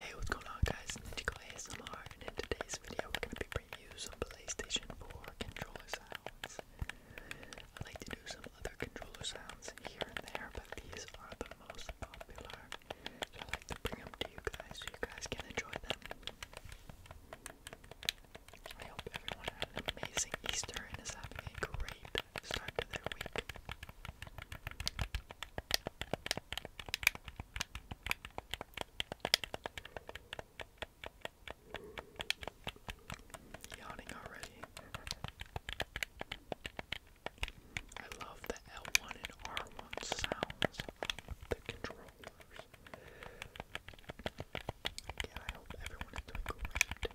Hey, what's going on guys? Ninjago ASMR and in today's video we're going to be reviewing PlayStation 4 controller sounds. I like to do some other controller sounds here and there, but these are the most popular. So I like to bring them to you guys so you guys can enjoy them. I hope everyone had an amazing Easter and is having a great start to their week. Yawning already. I love the L1 and R1 sounds of the controllers. Yeah, I hope everyone is doing great.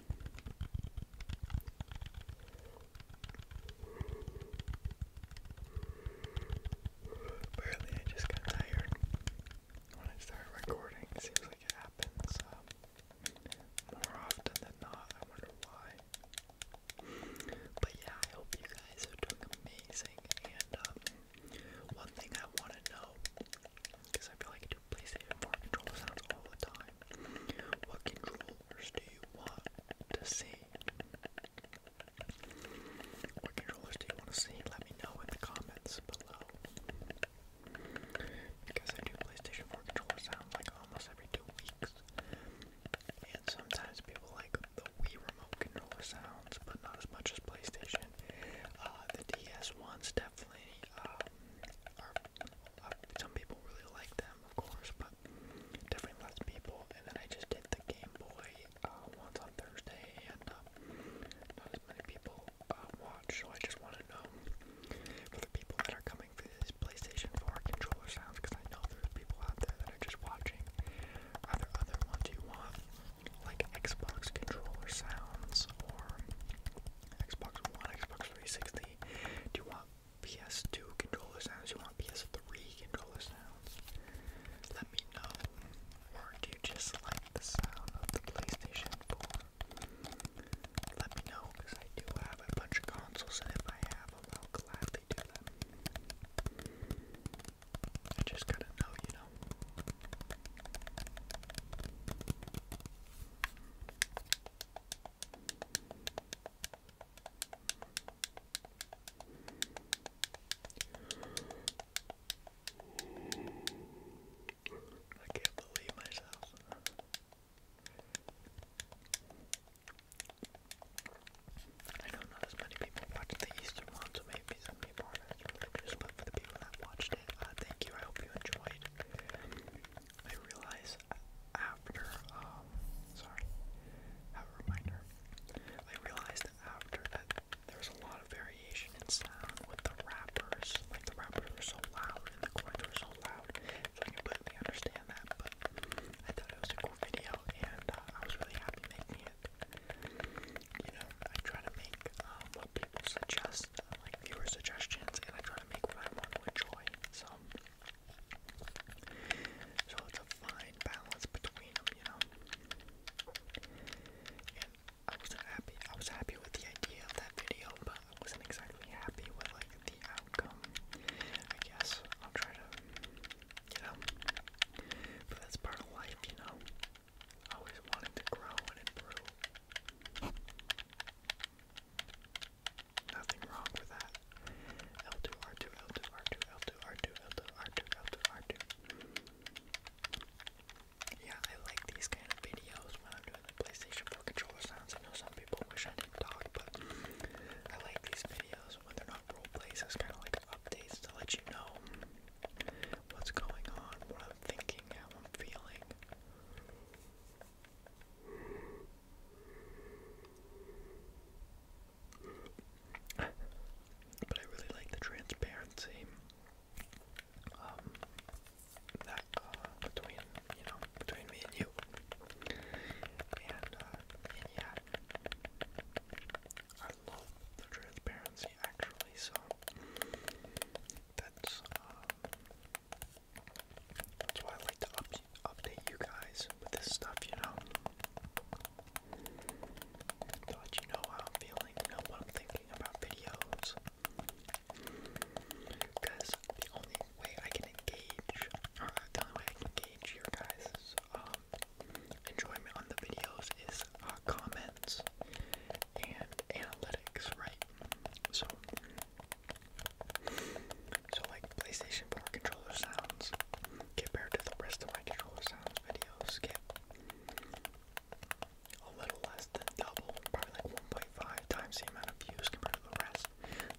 Apparently I just got tired when I started recording. seems like it happens uh, more often than not. I wonder why. But yeah, I hope you guys are doing amazing. And um, one thing I want to know, because I feel like I do PlayStation 4 controller sounds all the time, what control controllers do you want to see? What controllers do you want to see? Let me know in the comments below. Because I do PlayStation 4 controller sound like almost every two weeks. And sometimes people like the Wii remote controller sounds, but not as much as PlayStation. Uh, the DS ones definitely um, are, uh, some people really like them, of course, but definitely less people. And then I just did the Game Boy uh, once on Thursday, and um, not as many people uh, watch, so I just want to know for the people that are coming for this PlayStation 4 controller sounds, because I know there's people out there that are just watching. Are there other ones you want, like Xbox controller sounds, or Xbox One, Xbox 360? Do you want PS2 controller sounds, you want PS3 controller sounds, let me know. Or do you just like the sound of the PlayStation 4? Let me know, because I do have a bunch of consoles, and if I have them, I'll gladly do them. I just gotta know, you know. I can't believe myself. I don't as many people watched the Easter one, so maybe some people aren't as religious, for the people that watched it, uh, thank you. I hope you enjoyed. I realize after, um, sorry, have a reminder. I realized after that was a lot of variation in sound with the rappers. Like the rappers were so loud and the chords were so loud. So I completely understand that, but I thought it was a cool video and uh, I was really happy making it. You know, I try to make um, what people suggest like viewer suggestions, and I try to make what I want to enjoy. So, so it's a fine balance between you know. And I was happy. I was happy with the idea of that video, but I wasn't exactly happy with like the outcome. I guess I'll try to, you know. But that's part of life, you know. Always wanting to grow and improve. Nothing wrong with that. L2, R2, L2, R2, L2, R2, L2, R2, L2, R2. Yeah, I like these kind of videos when I'm doing the PlayStation 4 controller sounds. I know some people wish I didn't talk, but I like these videos when they're not role plays. It's kind of like updates to let you know what's going on, what I'm thinking, how I'm feeling. But I really like the transparency um, that uh, between you know between me and you, and uh, yeah, I love the transparency actually. So um, that's why I like to update you guys with this stuff, you know. To let you know how I'm feeling, you know what I'm thinking about videos. Because the only way I can engage, the only way I can engage your guys' um, enjoyment on the videos is uh, comments and analytics, right? So so like PlayStation 4 controller sounds compared to the rest of my controller sounds videos get a little less than double, probably like 1.5 times the amount of views compared to the rest.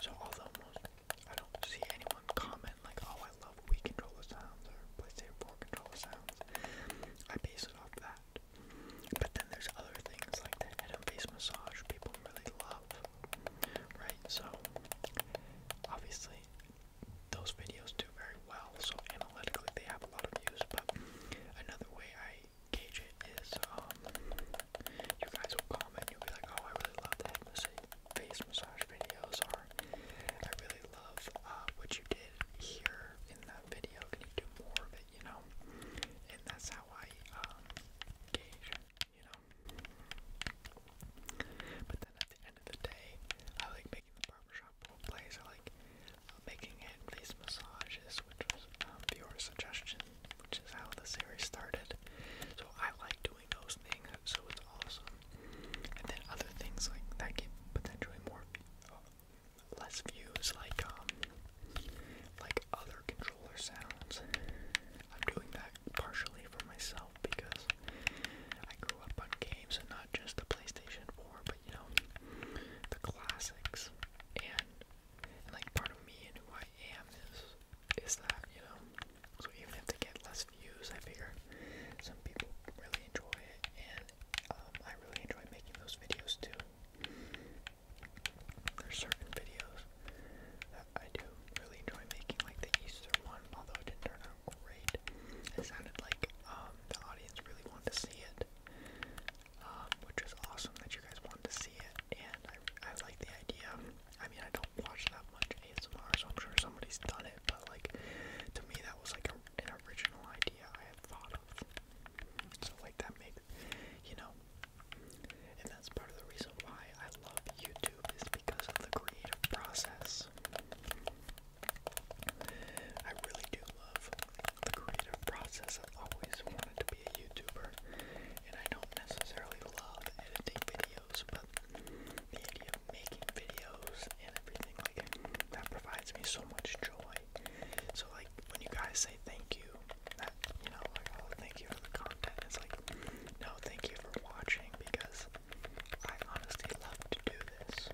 So although most I don't see anyone comment like, oh I love Wii controller sounds or PlayStation 4 controller sounds, I base it off that that. But then there's other things like the head and face massage people really love, right? So, obviously, those videos do very well, so analytically they have a lot of views, but another way I gauge it is, um, you guys will comment, you'll be like, oh, I really love the head massage, face massage videos, or I really love uh, what you did here in that video, can you do more of it, you know? And that's how I um, gauge, you know? But then at the end of the day, I like making the barbershop place. I like uh, making hand place massages, which was um, viewer suggestion, which is how the series started. So I like doing those things, so it's awesome. And then other things like that get potentially more uh, less views like um like other controller sounds. I'm doing that partially for myself because I grew up on games and not just the PlayStation 4, but you know, the classics. And, like part of me and who I am is is that, you know. So even if they get less views, I figure some people really enjoy it and um, I really enjoy making those videos too. There's certain videos that I do really enjoy making, like the Easter one, although it didn't turn out great. It sounded like um, the audience really wanted to see it, um, which is awesome that you guys wanted to see it, and I, I like the idea. I mean, I don't watch that much ASMR, so I'm sure somebody's done it, but like to me, that was like a, an original idea I had thought of. So like that makes you know and that's part of the reason why I love YouTube is because of the creative process. I really do love the creative process. I've always wanted to be a YouTuber and I don't necessarily love editing videos but the idea of making videos and everything like that provides me so much joy so like when you guys say thank you that you know like oh thank you for the content it's like no thank you for watching because I honestly love to do this.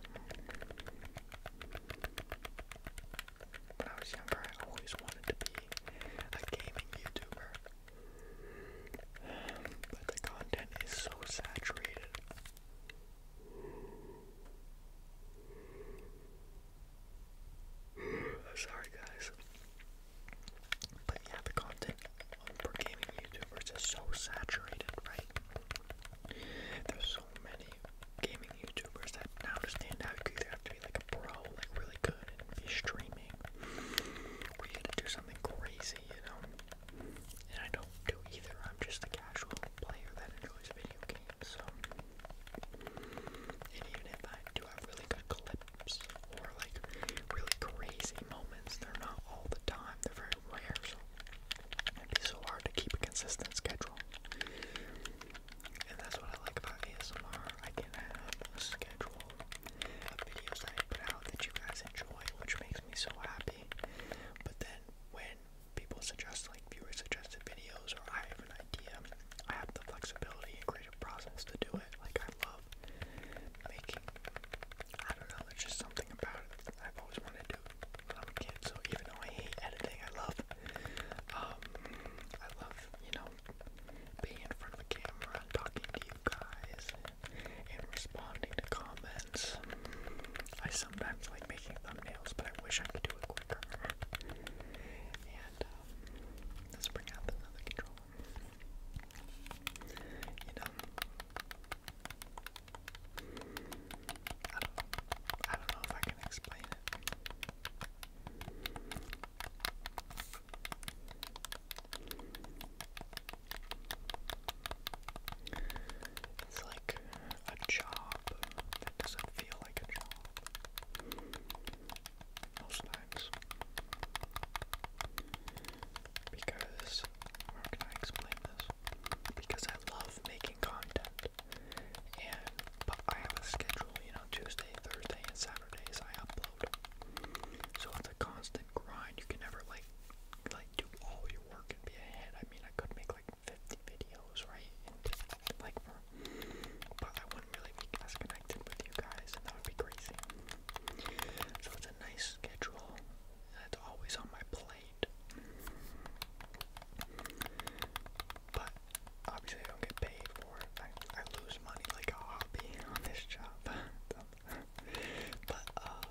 When I was younger I always wanted to be a gaming YouTuber. But the content is so saturated. Sorry, guys. But yeah, the content on gaming YouTubers is so saturated, right? There's so many gaming YouTubers that now to stand out, you either have to be like a pro, like really good, and be streaming, or you gotta do something crazy, you know? And I don't do either. I'm just a casual player that enjoys video so and even if I do have really good clips or like really crazy moments, they're not all the time, they're very rare, so it'd be so hard to keep a consistent schedule. And that's what I like about ASMR. I can have a schedule of videos that I put out that you guys enjoy, which makes me so happy. But then when people suggest like viewer suggested videos or I have an idea. I have the flexibility and creative process to do it. Like I love making I don't know, there's just something about it I've always wanted to do when I'm a kid, so even though I hate editing, I love um I love, you know, being in front of the camera and talking to you guys and responding to comments I sometimes like making thumbnails, but I wish I could do it quicker. And um, let's bring out another controller. You know, I don't know if I can explain it. It's like a job that doesn't feel like a job. Most times. Because, how can I explain this? Because I love making content. And, but I have a schedule, you know, Tuesday, Thursday, and Saturdays I upload. So it's a constant grind. You can never, like, like do all your work and be ahead. I mean, I could make like 50 videos, right? like but I wouldn't really be as connected with you guys, and that would be crazy. So it's a nice schedule that's always on my plate. But obviously, I don't get paid for it. I, I lose money like a hobby on this job. but uh,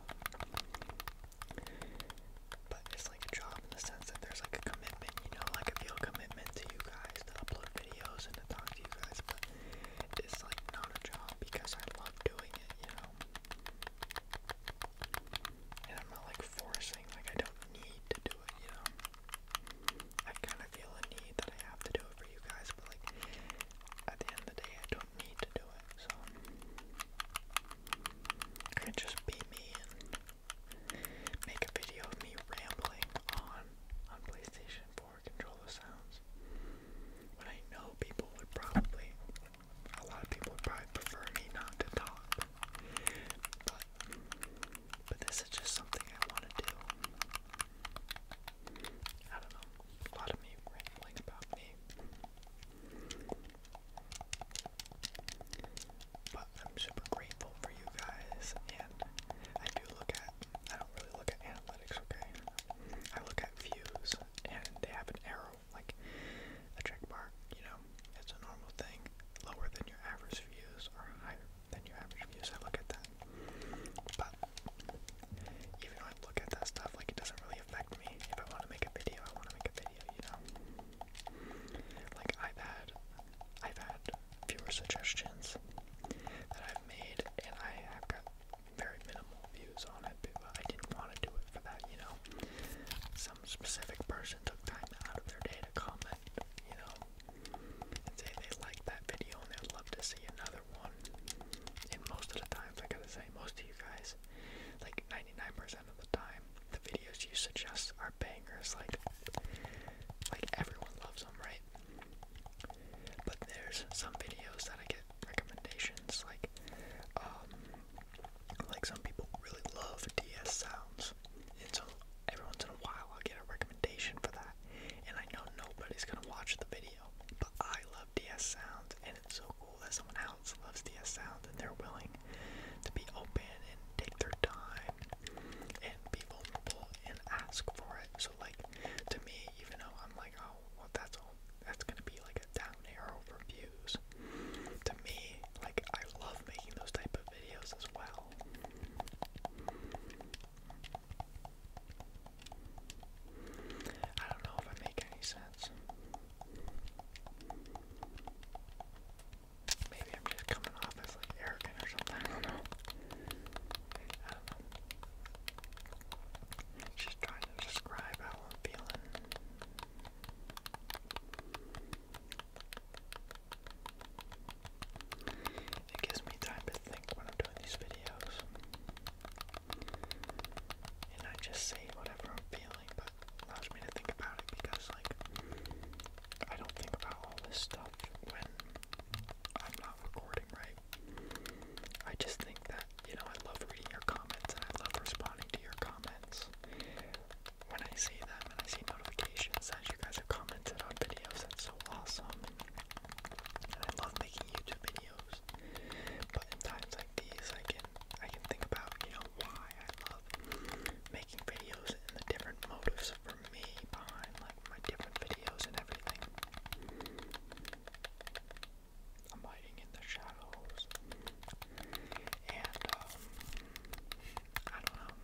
but it's like a job in the sense that there's like a commitment, you know, like a feel commitment to you guys to upload videos and to talk to you guys, but it's like not a job because I love doing it, you know. And I'm not like forcing, like I don't need to do it, you know. I kind of feel a need that I have to do it for you guys, but like at the end of the day, I don't need to do it, so it could just be me and make a video of me rambling on on PlayStation 4 controller sounds. But I know people would probably a lot of people would probably prefer me not to talk. But but this is just something I want to do. I don't know. A lot of me rambling about me. But I'm super grateful for you guys, and I do look at, I don't really look at analytics, okay? I look at views, and they have an arrow, like a check mark, you know? It's a normal thing. Lower than your average views, or higher than your average views, I look at that. But even when I look at that stuff, like it doesn't really affect me. If I want to make a video, I want to make a video, you know? Like, I've had, I've had viewer suggestions that I've made, and I have got very minimal views on it, but I didn't want to do it for that, you know? Some specific person took time out of their day to comment, you know, and say they liked that video and they'd love to see another one. And most of the times, I gotta say, most of you guys because like 99% of the time the videos you suggest are bangers like like everyone loves them right but there's some videos that I get recommendations like um like some people really love DS sounds and so every once in a while I'll get a recommendation for that and I know nobody's gonna watch the video but I DS sounds, and it's so cool that someone else loves DS sounds and they're willing to be open and take their time and be vulnerable and ask for it. So, like to me, even though I'm like, oh, well, that's all, that's gonna be like a down arrow for views. To me, like I love making those type of videos as well. I don't know if I make any sense. Maybe I'm just coming off as like arrogant or something. I don't know. I do Just trying to describe how I'm feeling. It gives me time to think when I'm doing these videos and I just say whatever I'm feeling, but allows me to think about it because, like, I don't think about all this stuff when I'm not recording, right? I just think that, you know, I love reading your comments and I love responding to your comments. When I see them and I see notifications that you guys have commented on videos, that's so awesome. And I love making YouTube videos videos. But in times like these, I can I can think about you know why I love making videos and the different motives for me behind like my different videos and everything. I'm hiding in the shadows, and um, I don't know.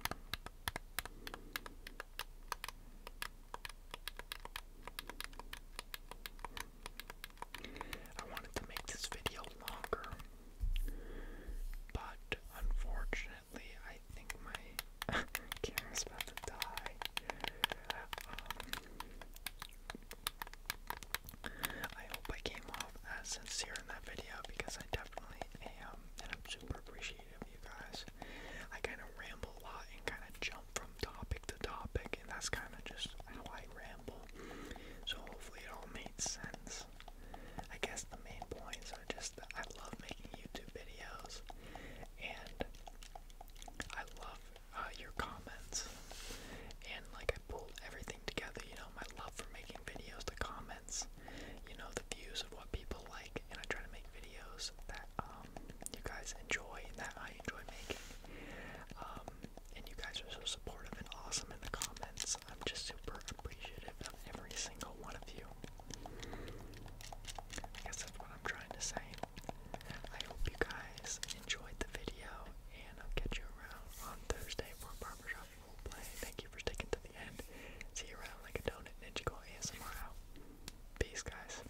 I wanted to make this video longer, but unfortunately, I think my camera is about to die. Um, I hope I came off as sincere in that video because I definitely am, and I'm super appreciative of you guys. I kind of ramble a lot and kind of jump from topic picked topic, and that's kind of just how I ramble. So hopefully it all made sense. I guess the main points are just that I love making YouTube videos, and I love uh, your comments, and like I pulled everything together. You know, my love for making videos, the comments, you know, the views of what people like, and I try to make videos that um, you guys enjoy that I enjoy making. Um, and you guys are so supportive and awesome in the comments. I'm just super appreciative of every single one of you. I guess that's what I'm trying to say. I hope you guys enjoyed the video, and I'll catch you around on Thursday for Barbershop play. Thank you for sticking to the end. See you around like a donut ninja go ASMR out. Peace, guys.